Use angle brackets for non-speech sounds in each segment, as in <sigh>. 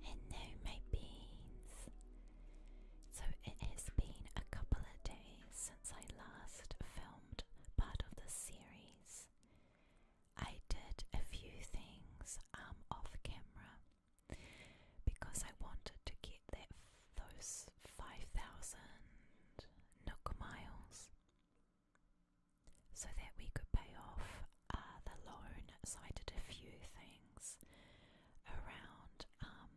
Hello, my beans. So it has been a couple of days since I last filmed part of this series. I did a few things um, off camera because I wanted to get that those 5,000 Nook miles so that we could pay off uh, the loan, so I did a few things around um,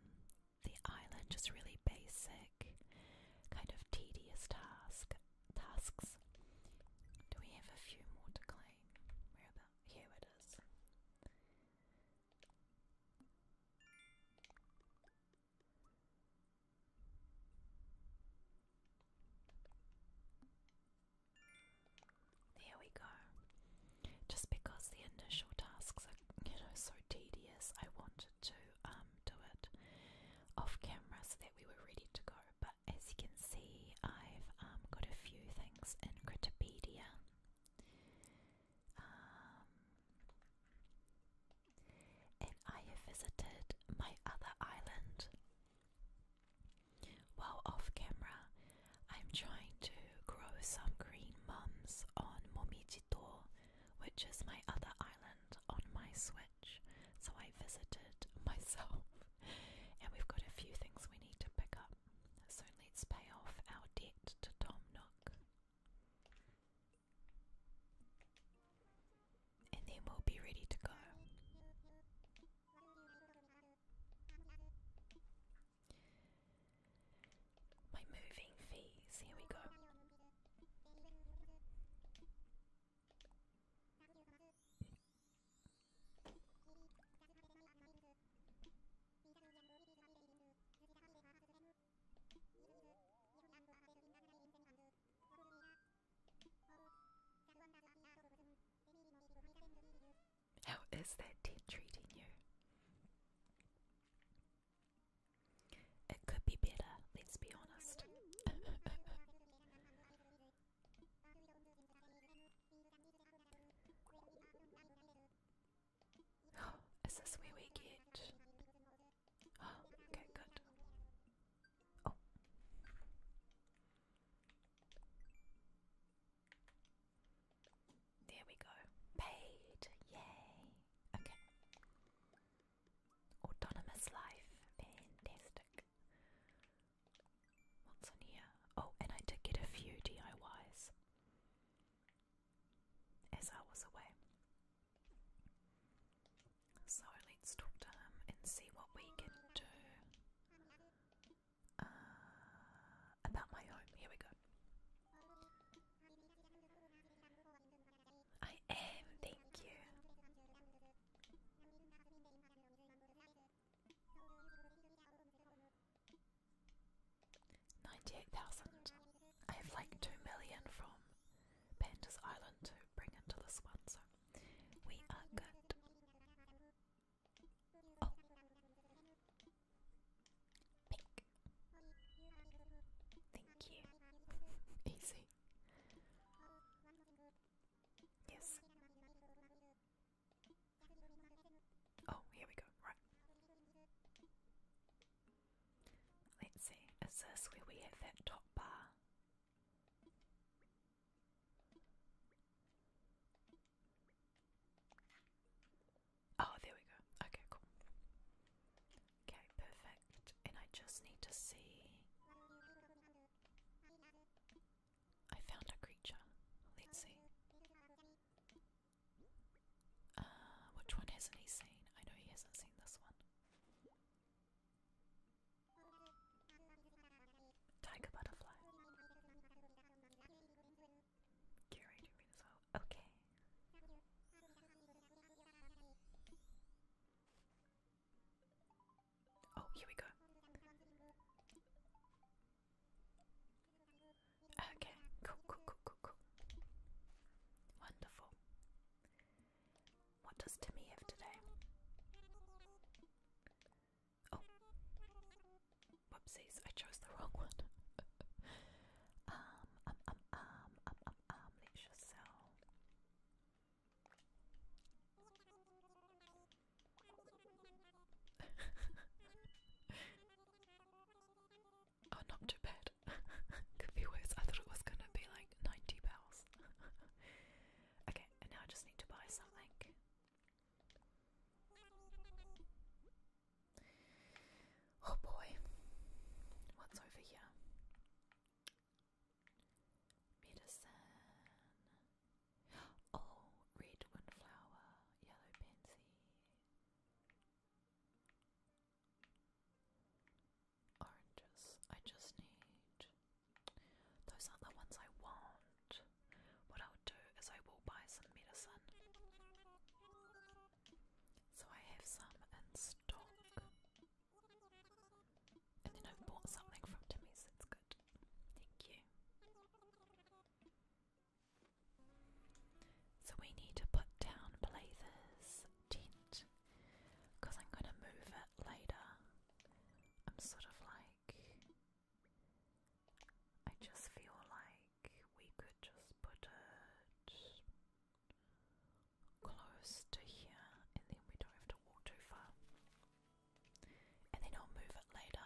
the island, just really basic, kind of tedious task tasks. Do we have a few more to claim? here it is. There we go. Just because the initial tasks are, you know, so tedious, I wanted to um do it off camera so that we were ready to go. But as you can see, I've um got a few things in Critopedia. Um, and I have visited my other island. While off camera, I'm trying to grow some green mums on Momiji Tor, which is my other island on my Switch. So I visited <laughs> myself, and we've got a few things we need to pick up. So let's pay off our debt to Tom Nook and they will be ready to go. My moving fees, here we go. How is that team treating you? It could be better, let's be honest. <laughs> is this where we get <gasps> okay, good. Oh. There we go. Paid. Yay. Okay. Autonomous life. Fantastic. What's in here? Oh, and I did get a few DIYs as I was away. So let's talk to him and see what we can do uh, about my home. Here we go. I am, thank you. Ninety-eight thousand. I have like two million from Panda's Island to bring into this one, so we are good. Oh, pink. Thank you. <laughs> Easy. Yes. Oh, here we go. Right. Let's see, is this where we have that top bar? Oh, there we go. Okay, cool. Okay, perfect. And I just need to see. I found a creature. Let's see. Uh, which one hasn't he seen? I know he hasn't seen this one. Tiger butterfly. Curator me Okay. Oh, here we go. Okay, cool, cool, cool, cool, cool. Wonderful. What does Timmy have today? Oh. Whoopsies, I chose the wrong one. <laughs> um, um, um, um, um, um, let's just sell. Oh, not too bad. <laughs> Could be worse. I thought it was gonna be like ninety bells. <laughs> okay, and now I just need to buy something. Oh boy, what's over here? Medicine. Oh, red windflower, yellow pansy. Oranges. I just need. Those are the ones I want. What I'll do is I will buy some medicine. So I have some in stock. And then I bought something from Timmy's, it's good. Thank you. So we need to put down blazers tent because I'm going to move it later. I'm sort of like. I just feel like we could just put it close to here and then we don't have to walk too far. And then I'll move it later.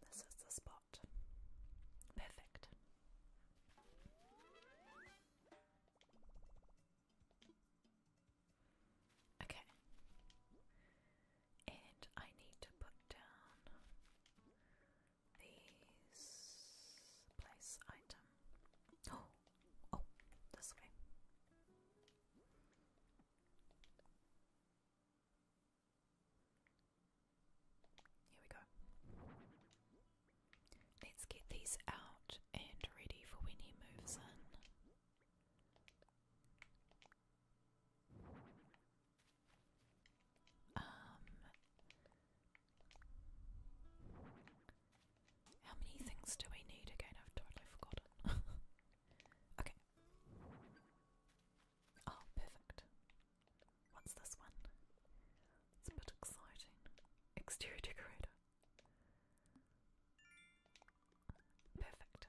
This is the spot. Perfect. Okay. And I need to put down these place item. Oh, oh, this way. Here we go. Let's get these out and ready for when he moves in. Um, how many things do we need again? I've totally forgotten. <laughs> okay. Oh, perfect. What's this one? It's a bit exciting. Exterior decorator. Perfect.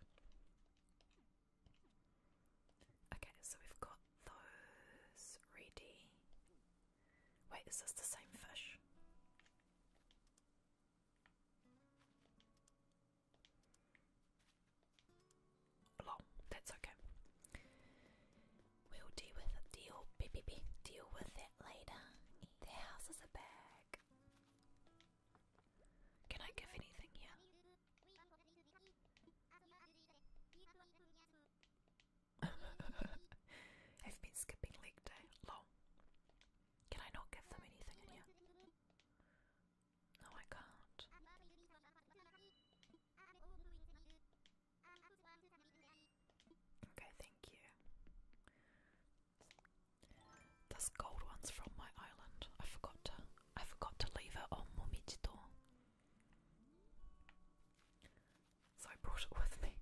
Okay, so we've got those ready. Wait, is this the same fish? Lol, that's okay. We'll deal with it. Deal, be, be, be, deal with that later. The house is a bag. Can I give anything here? <laughs> I've been skipping leg day. Lol. Can I not give them anything in here? No, I can't. Okay, thank you. This gold one's from my island. I forgot to I forgot to leave it on Momichito. So I brought it with me.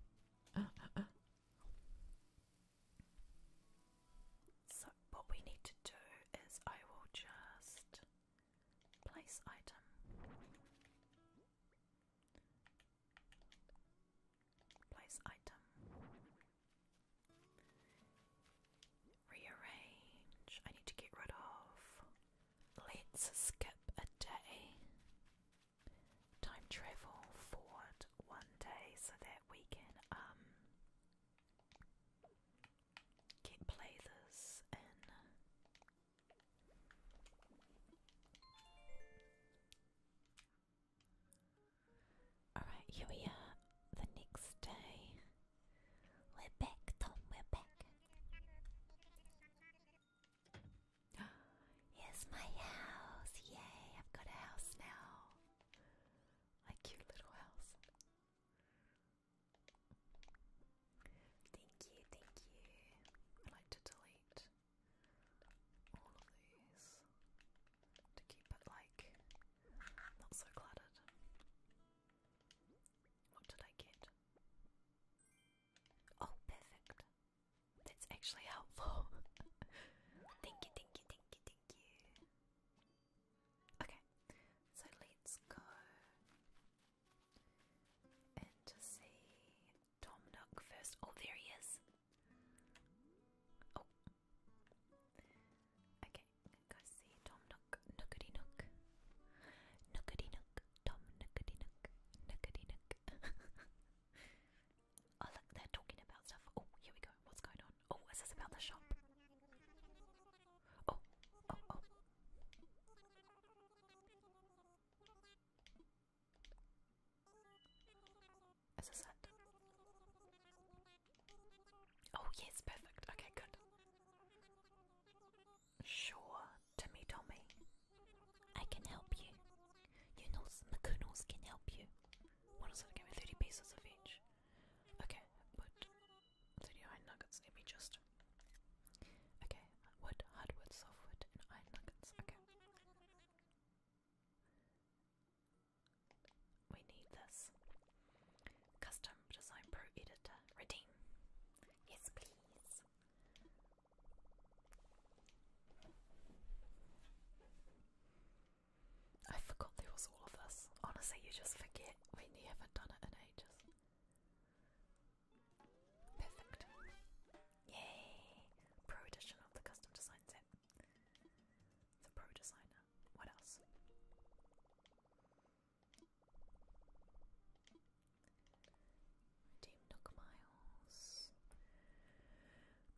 <laughs> what we need to do is I will just place item. Place item. Rearrange. I need to get rid of. Let's skip a day. Time travel forward one day so that we can um keep play this in uh, Alright, here we are the next day. We're back, Tom, we're back. <gasps> Here's my house. Yay, I've got a house now. My cute little house. Thank you, thank you. I like to delete all of these to keep it like not so cluttered. What did I get? Oh, perfect. That's actually helpful. <laughs> thank you, thank you, thank you, thank you. Okay, so let's go and to see Tom Nook first. Oh, there he is. Oh, okay, go see Tom Nook, Nookity Nook, Nookity Nook, Tom Nookity Nook, Nookity Nook. <laughs> oh, look, they're talking about stuff. Oh, here we go. What's going on? Oh, it this about the shop. Oh, oh, oh. Is this it? Oh, yes, perfect. Okay, good. Sure, Timmy Tommy. I can help you. You know, the kernels can help you. What is it? gave me 30 pieces of each. Okay, but City Iron Nuggets, let me just. Okay, wood, hardwood, softwood, iron nuggets. Okay. We need this. Custom Design Pro Editor. Redeem. Yes, please. I forgot there was all of us. Honestly, you just forget when haven't done it in ages. Perfect. Yay! Pro edition of the custom design set. The pro designer. What else? Team Nook Miles.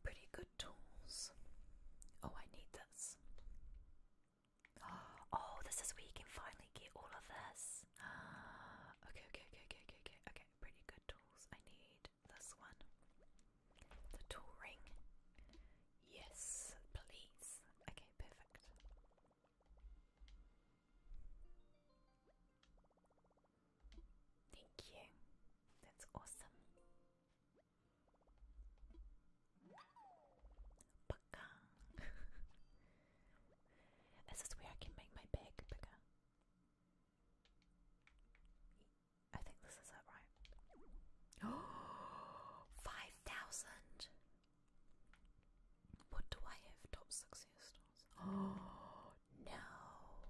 Pretty good tools. Oh, I need this. <gasps> Oh, this is where you can finally get all of this. <gasps> Okay, okay, okay, okay, okay, okay, okay. Pretty good tools. I need this one. The tool ring. Yes, please. Okay, perfect. Thank you. That's awesome. Pecan. <laughs> this is where I can make my bag bigger. I think this is it, right? <gasps> Oh, 5,000! What do I have? Top success stores. Oh, no!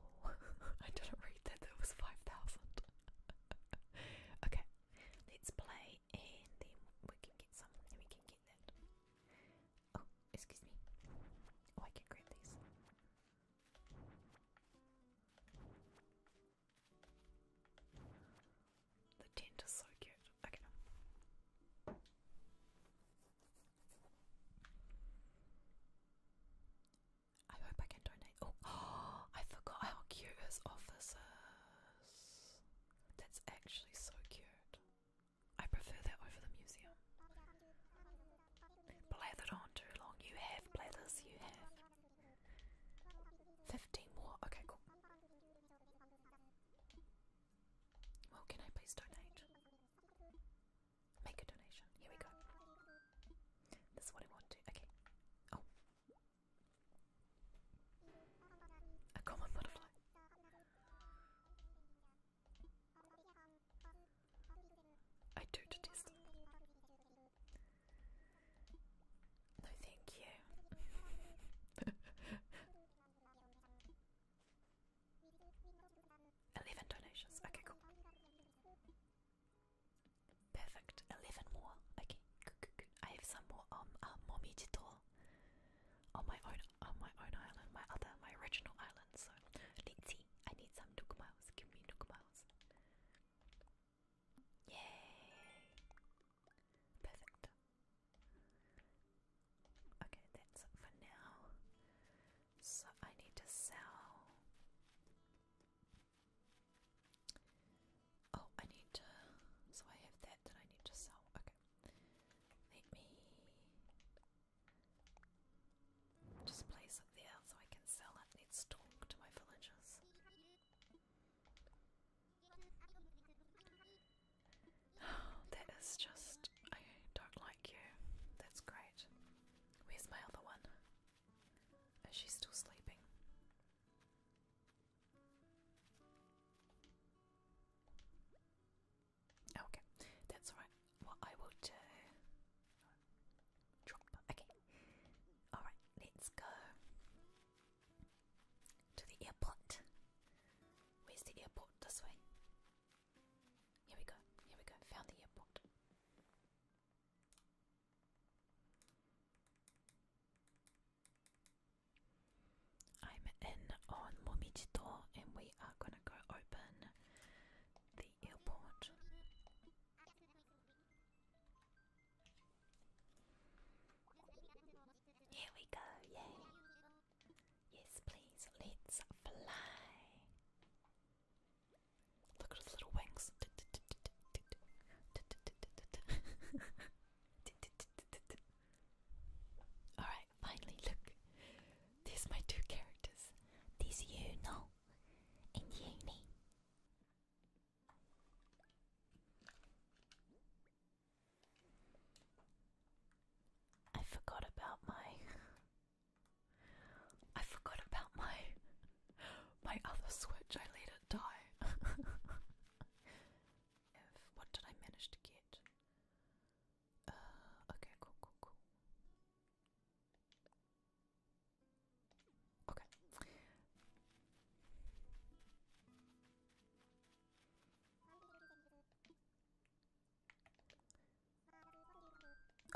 <laughs> I didn't read that, there was 5,000. <laughs> okay, let's play and then we can get some we can get that. Oh, excuse me. Oh, I can grab these. The tent is so cute. Okay. I hope I can donate. Oh, <gasps> I forgot how cute his office that's actually so cute. I prefer that over the museum. Blathered on too long. You have blathers, you have. 15 more. Okay, cool. Well, can I please donate? Make a donation. Here we go. This is what I want to. Okay. Oh. A common butterfly. I do detest them. No, thank you. <laughs> Eleven donations. Okay, cool. Perfect. Eleven more. Okay. I have some more um uh, mommy on my own on my own island, my other my original island. So let's see. I need some nook Give me nook Yay! Perfect. Okay, that's for now. So I need to sell Oh, I need to. So I have that that I need to sell. Okay. Let me just place it there so I can sell that Let's talk to my villagers. Oh, <sighs> that is just. I don't like you. That's great. Where's my other one? Is she still sleeping? Okay, that's all right. What I will do. Okay. Alright, let's go to the airport. Where's the airport? This way. Here we go. Here we go. Found the airport. I'm in on Momijito and we are going to go open the airport. Here we go, yay! Yes, please, let's fly! Look at his little wings. <laughs> Alright, finally, look. These my two characters. These you know and uni. I forgot about my I forgot about my my other switch, I let it die. <laughs> what did I manage to get? Uh, okay, cool, cool, cool. Okay.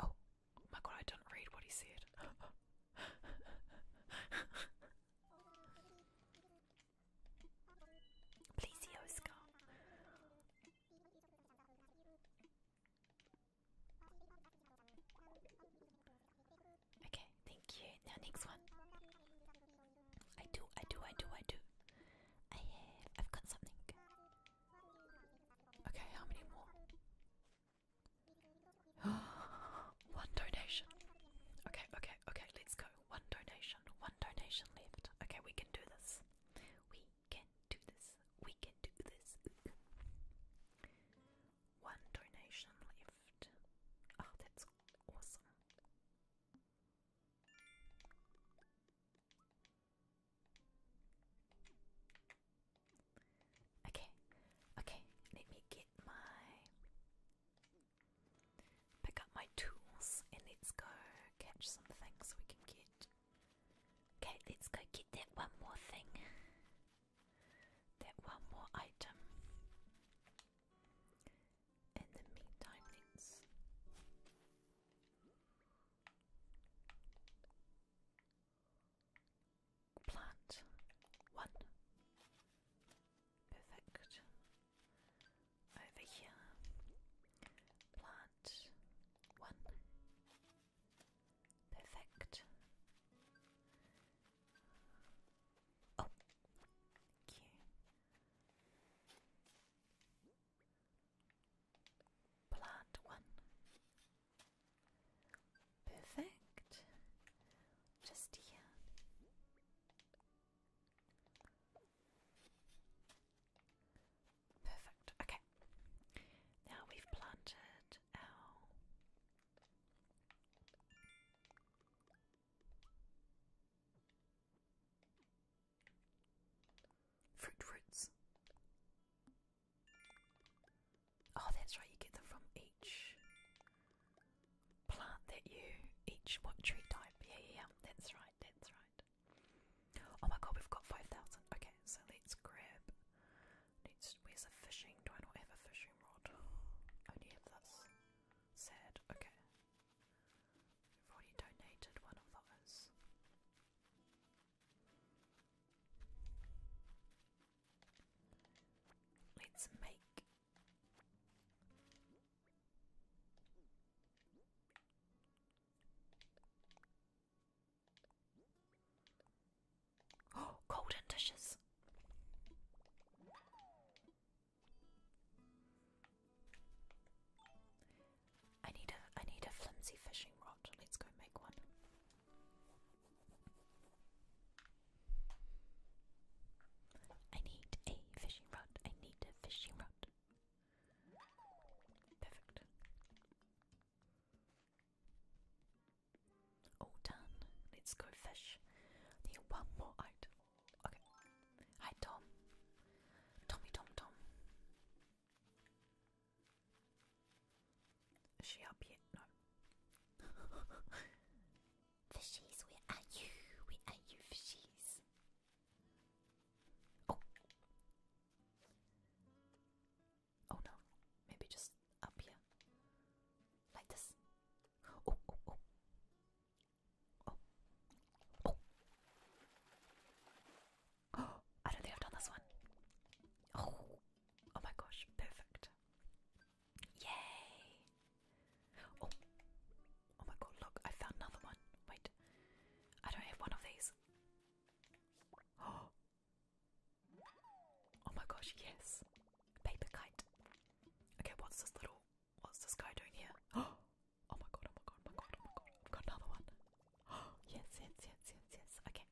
Oh, my god, I didn't read what he said. <gasps> <laughs> Please, Yosko. Okay, thank you. Now next one. I do, I do, I do, I do. I have, I've got something. Okay, how many more? <gasps> one donation. Okay, okay, okay, let's go. One donation, one donation left. Okay, we can do this. We can do this. We can do this. one donation left. Oh, that's awesome. Okay, okay, let me get my. Pick up my tools and let's go catch some so we can get. Okay, let's go get that one more thing. That one more item. In the meantime, let's plant one. Perfect. Over here, plant one. Perfect. Oh, thank Plant one. Perfect. Just here. Perfect. Okay. Now we've planted our fruit roots. Oh, that's right, you get them from each plant that you, each what tree type. Yeah, yeah, that's right, that's right. Oh my god, we've got 5,000. Okay, so let's grab. Let's, where's the fishing? Do I not have a fishing rod? I only have this. Sad, okay. We've already donated one of those. Let's make Oh, <gasps> golden dishes. I need a I need a flimsy fishing rod. Let's go make one. I need a fishing rod. I need a fishing rod. Perfect. All done. Let's go fish. Need one more item. Okay. Hi, Tom. Tommy, Tom, Tom. Is she up yet? No. <laughs> fishies, where are you? Where are you, fishies? Oh. Oh no. Maybe just up here. Like this. Oh, oh, oh. Oh. oh. <gasps> I don't think I've done this one. Oh. Oh my gosh, perfect. Yay! Oh, oh my god! Look, I found another one. Wait, I don't have one of these. Oh, <gasps> oh my gosh! Yes, paper kite. Okay, what's this little? What's this guy doing here? Oh, <gasps> oh my god! Oh my god! Oh my god! Oh my god! I've got another one. <gasps> yes, yes, yes, yes, yes. Okay,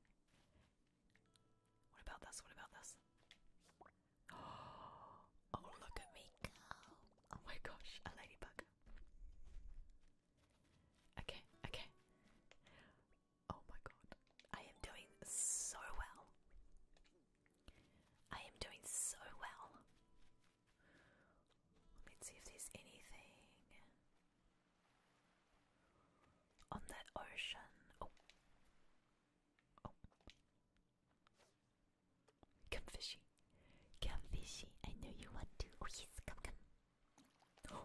what about this? What about this? <gasps> Oh, look at me go. Oh my gosh, a ladybug. Okay, okay. Oh my god. I am doing so well. I am doing so well. Let's see if there's anything on that ocean. Oh. Come fishy. Come fishy. I know you want to. Oh yes, come come. <gasps>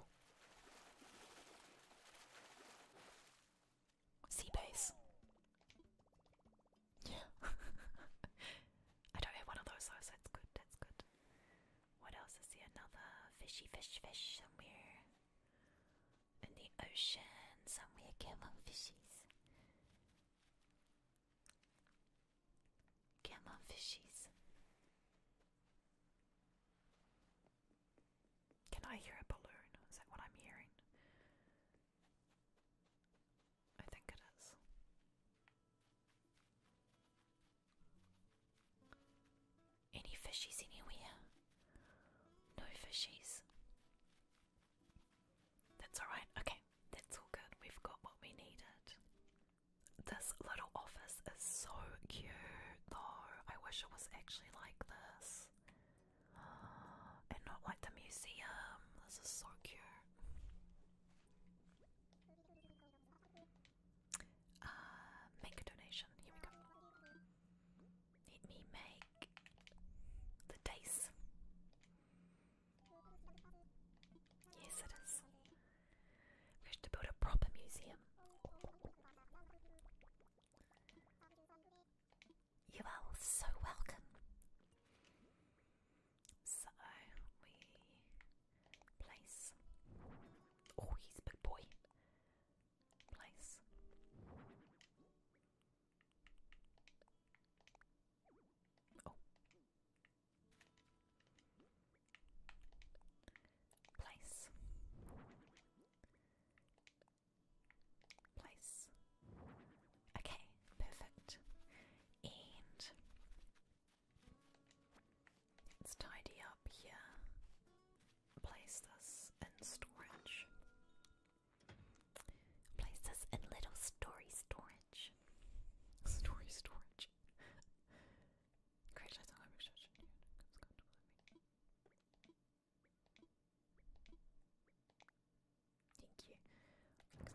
Sea base. Yeah. <laughs> I don't have one of those so that's good, that's good. What else is here? Another fishy fish fish somewhere in the ocean somewhere camel fishies. Camel fishies. Can I hear a balloon? Is that what I'm hearing? I think it is. Any fishies anywhere? No fishies. That's alright, okay, that's all good. We've got what we needed. This little office is so cute though. I wish it was actually like this. <gasps> and not like the museum. This is so cute. Uh, make a donation. Here we go. Let me make the dice. Yes, it is. We have build a proper museum. You are so welcome. So we place. Oh, he's a big boy place. Oh. Place. Place. Okay, perfect. And let's tidy up here place this in storage. Place this in little story storage. Story storage. Great, I thought I was judging you. Thank you.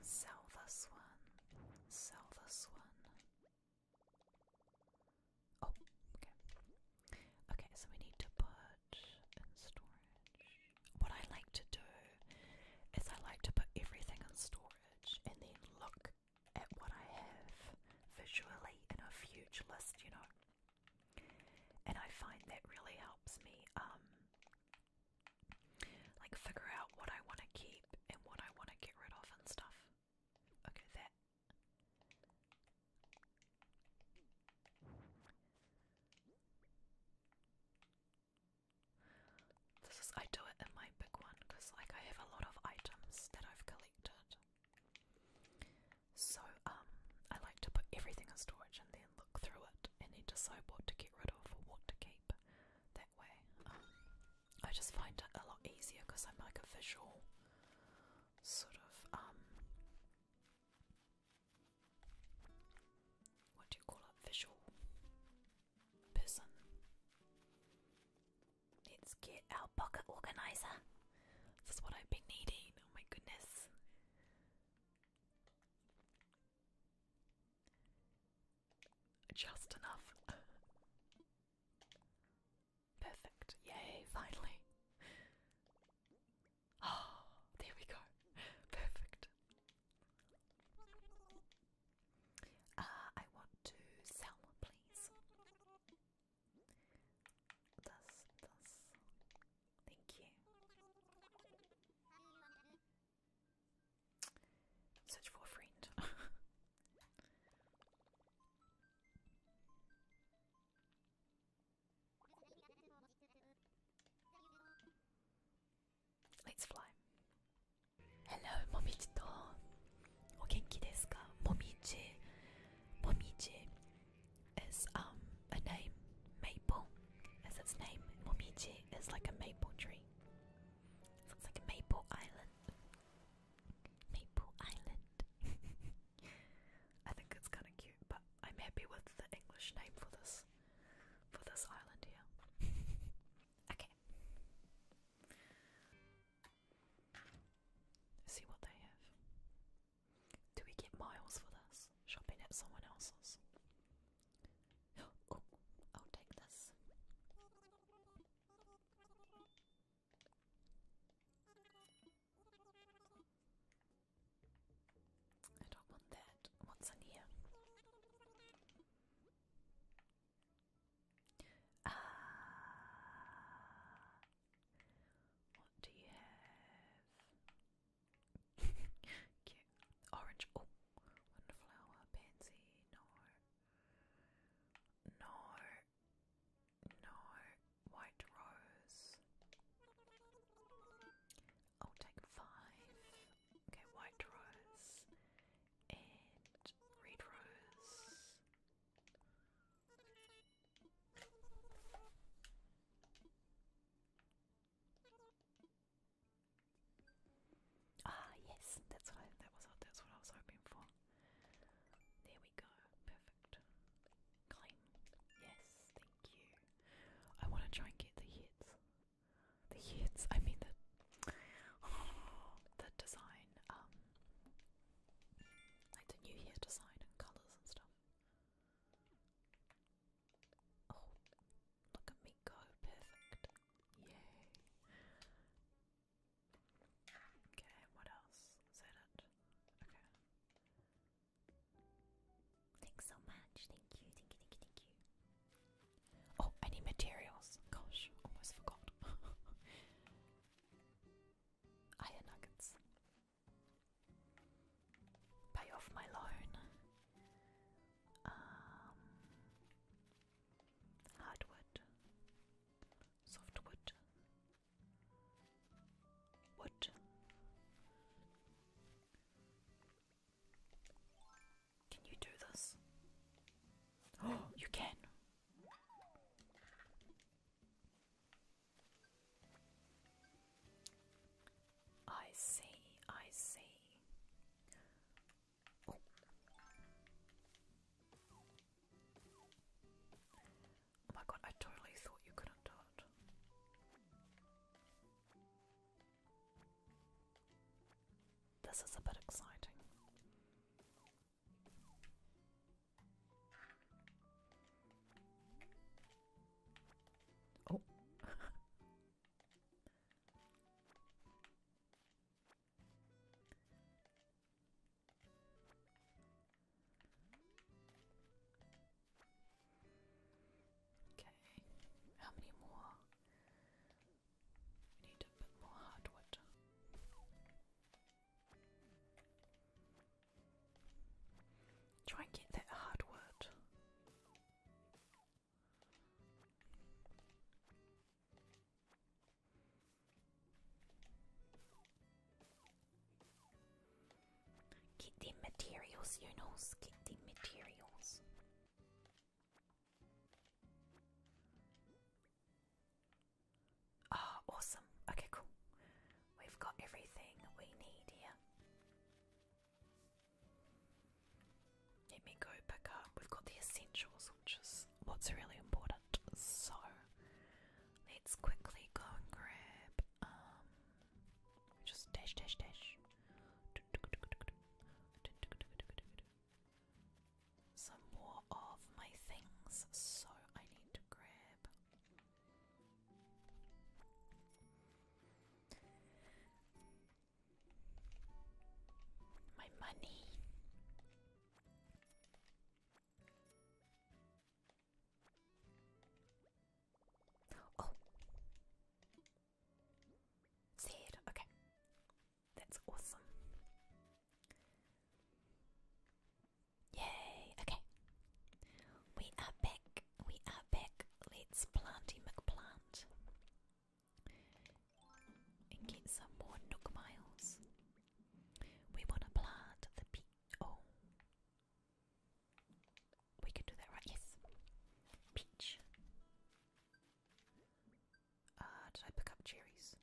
sell this one. Sell this one. Oh, okay. Okay, so we need to put in storage. What I like to do is I like to put everything in storage and then look at what I have visually in a huge list, you know. And I find that really helps me um like figure out what I want to keep and what I want to get rid of and stuff. Okay, that this is I do it in my big one because like I have a lot of items that I've collected. So um I like to put everything in storage and then look through it and decide what to get rid of or what to keep. That way. Um, I just find it a lot easier because I'm like a visual sort of um what do you call it? Visual person. Let's get our pocket organizer. This is what I've been needing. Oh my goodness. Just enough. <laughs> Perfect. Yay, finally. Oh, there we go. Perfect. Uh, I want to sell, please. This, this. Thank you. Search for a friend. <laughs> Let's fly. Hello, Momiji to. O genki Momiji. Momiji is um a name. Maple is its name. Momiji is like a maple tree. it's like a maple island. Maple Island. <laughs> I think it's kind of cute, but I'm happy with the English name for this for this island here. <laughs> okay. See what they have. Do we get miles for this? Shopping at someone else's. <gasps> Oh, I'll take this. I don't want that. What's in here? Ah, what do you have? <laughs> orange. Oh, wonderflower pansy. No, no no white rose. I'll take five. Okay, white rose and red rose. Ah yes, that's what that was that's what I was hoping for. There we go. Perfect. Claim. Yes, thank you. I want to try and get the hits. The hits. I mean the <gasps> the design. Um, like the new hair design and colors and stuff. Oh, look at me go! Perfect. Yay. Okay, what else? Is it? Okay. Thanks so much. Thank you, thank you, thank you, thank you. Oh, I need materials. Gosh, almost forgot. <laughs> Iron nuggets. Pay off my loan. Um, hardwood, softwood, what? Can you do this? Oh, <gasps> you can. I see, I see. Oh. Oh my god, I totally thought you couldn't do This is a bit exciting. Oh. Okay, how many more? We need a bit more hardwood. Try and get that hardwood. Get them materials, you know, get them materials. Ah, awesome. Okay, cool. We've got everything we need here. Let me go pick up. We've got the essentials, which is what's really important. So, Let's quickly go and grab um, just dash dash dash some more of my things so I need to grab my money Oh! Sad. Okay. That's awesome. Yay! Okay. We are back. We are back. Let's planty McPlant. And get some more nook We want to plant the peach. Oh. We can do that, right? Yes. Peach. Uh, did I pick up cherries?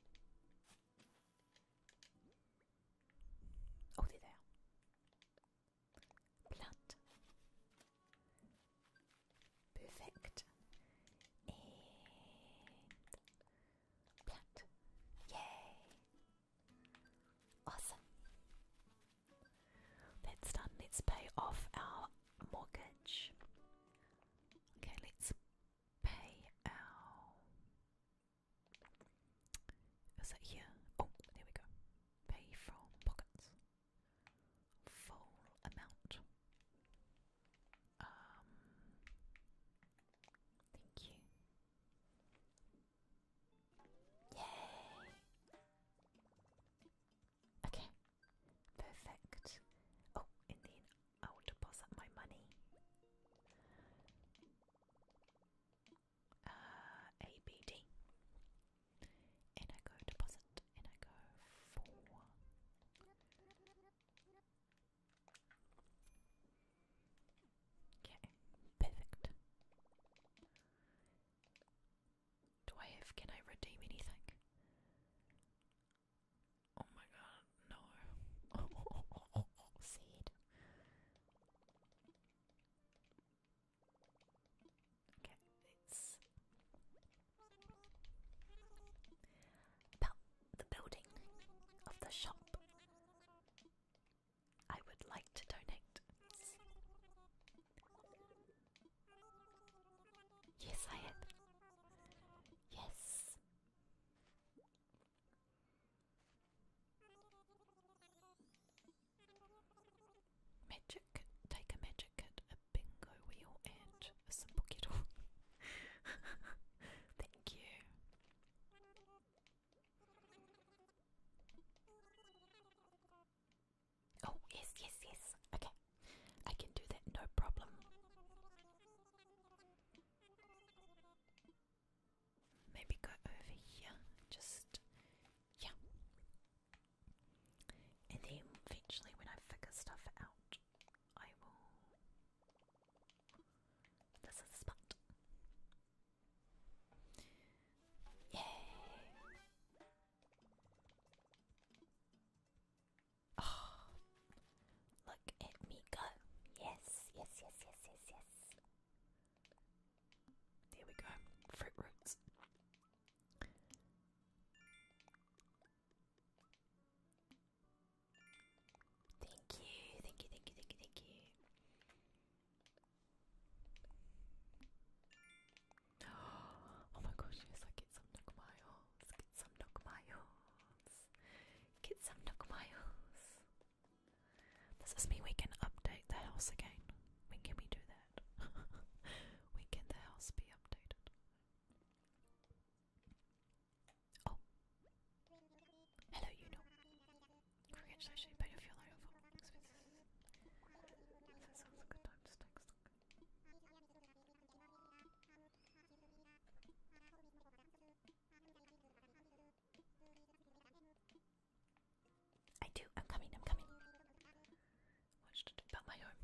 Oh, they are. Plant. Perfect. plant. Yay. Awesome. That's done. Let's pay off our mortgage. Okay, let's pay our. Is that here? Oh, there we go. Pay from pockets. Full amount. Um. Thank you. Yay! Okay, perfect. Oh, and then I'll deposit my money. Uh, ABD. And I go deposit, and I go for Okay, perfect. Do can I redeem anything? Oh my god, no. Oh, <laughs> Okay, it's the building of the shop. I would like to donate. Yes, I am. Yes. Magic. Take a magic kit, a bingo wheel, and a simple kettle. <laughs> Thank you. Oh, yes, yes, yes. Okay. I can do that no problem. Maybe go over here. Just. Yeah. And then eventually, when I figure stuff out, I will this is the spot. Yay! Oh, look at me go! Yes, yes, yes, yes, yes, yes. There we go. Fruit roots. Thank you, thank you, thank you, thank you, thank you. <gasps> Oh my gosh, yes, I get some dog miles. Get some dog miles. Get some dog miles. This is me, we can update the house again. When can we do that? <laughs> when can the house be updated? Oh. Hello, you know. Congratulations, you paid off your loan expenses. That sounds a good time to take I do, I'm coming, I'm coming. Watched it about my home.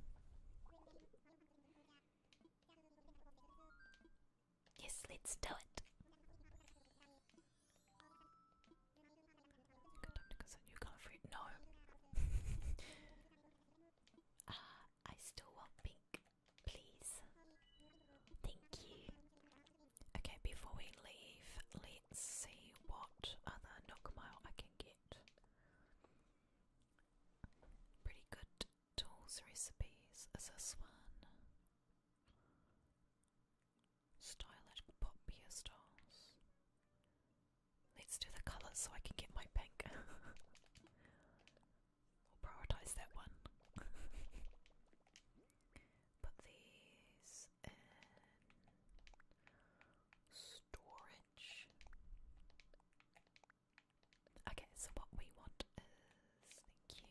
Yes, let's do it. Good time to consider you can't No. <laughs> Ah, I still want pink, please. Thank you. Okay, before we leave, let's see what other Nookmile I can get. Pretty good Tools recipes as this one. Stylish pop beer Let's do the colours so I can get my pink. <laughs> we'll prioritise that one. <laughs> Put these in storage. Okay, so what we want is thank you.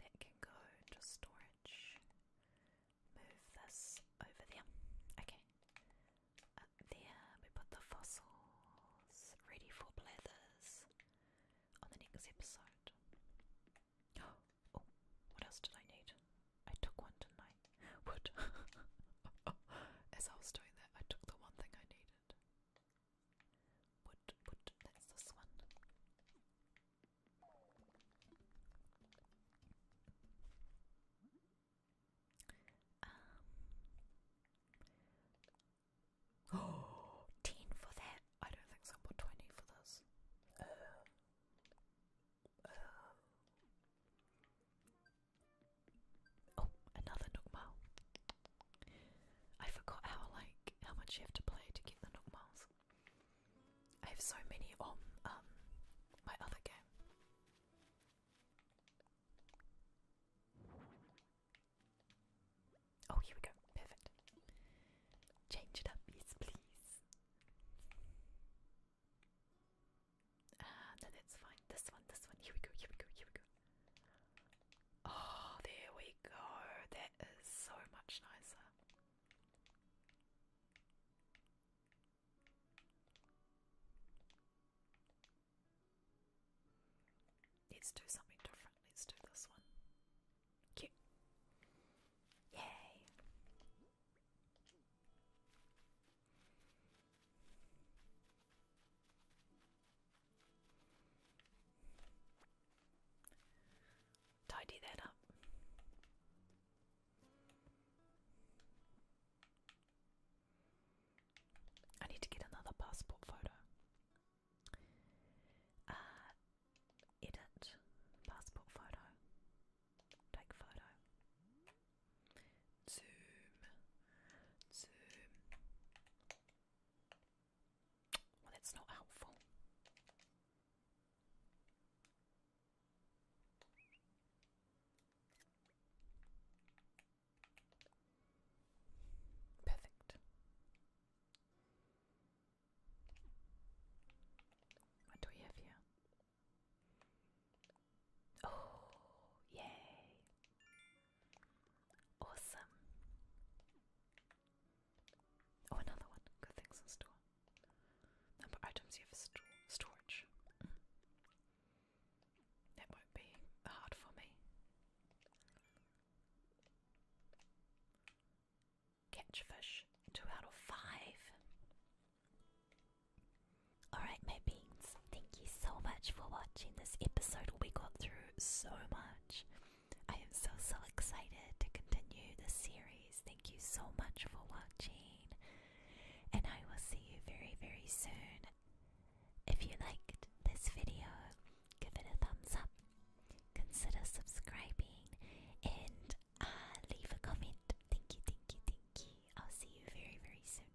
That can go into storage. Move this over there. Okay. Uh, there, we put the fossils ready for blathers on the next episode. <gasps> Oh, what else did I need? I took one tonight. <laughs> Wood. <laughs> As I was doing I took the one thing I needed. Wood, wood, that's this one. Um. <gasps> for that. I don't think I'll 20 for this. Uh, uh, Oh, another Nookmile. I forgot how like how much you have to play to get the Nookmiles. I have so many on um my other game. Oh, here we go. Perfect. Change it up, yes, please. Ah, no, that's fine. This one, this one. Here we go, here we go, here we go. Oh, there we go. That is so much nicer. Let's do something different. Let's do this one. Yay. Tidy that up. I need to get another passport photo. Uh, edit passport photo. Take photo. Zoom. Zoom. Well, that's not helpful. Perfect. What do we have here? Oh, yay! Awesome. Oh, another one. Good things in store. Number items you have sto storage. Mm. won't be hard for me. Catch fish. Two out of five. Alright, my beings, thank you so much for watching this episode. We got through so much. I am so, so excited to continue this series. Thank you so much for watching, and I will see you very, very soon. If you liked this video, give it a thumbs up, consider subscribing, and uh, leave a comment. Thank you, thank you, thank you. I'll see you very, very soon.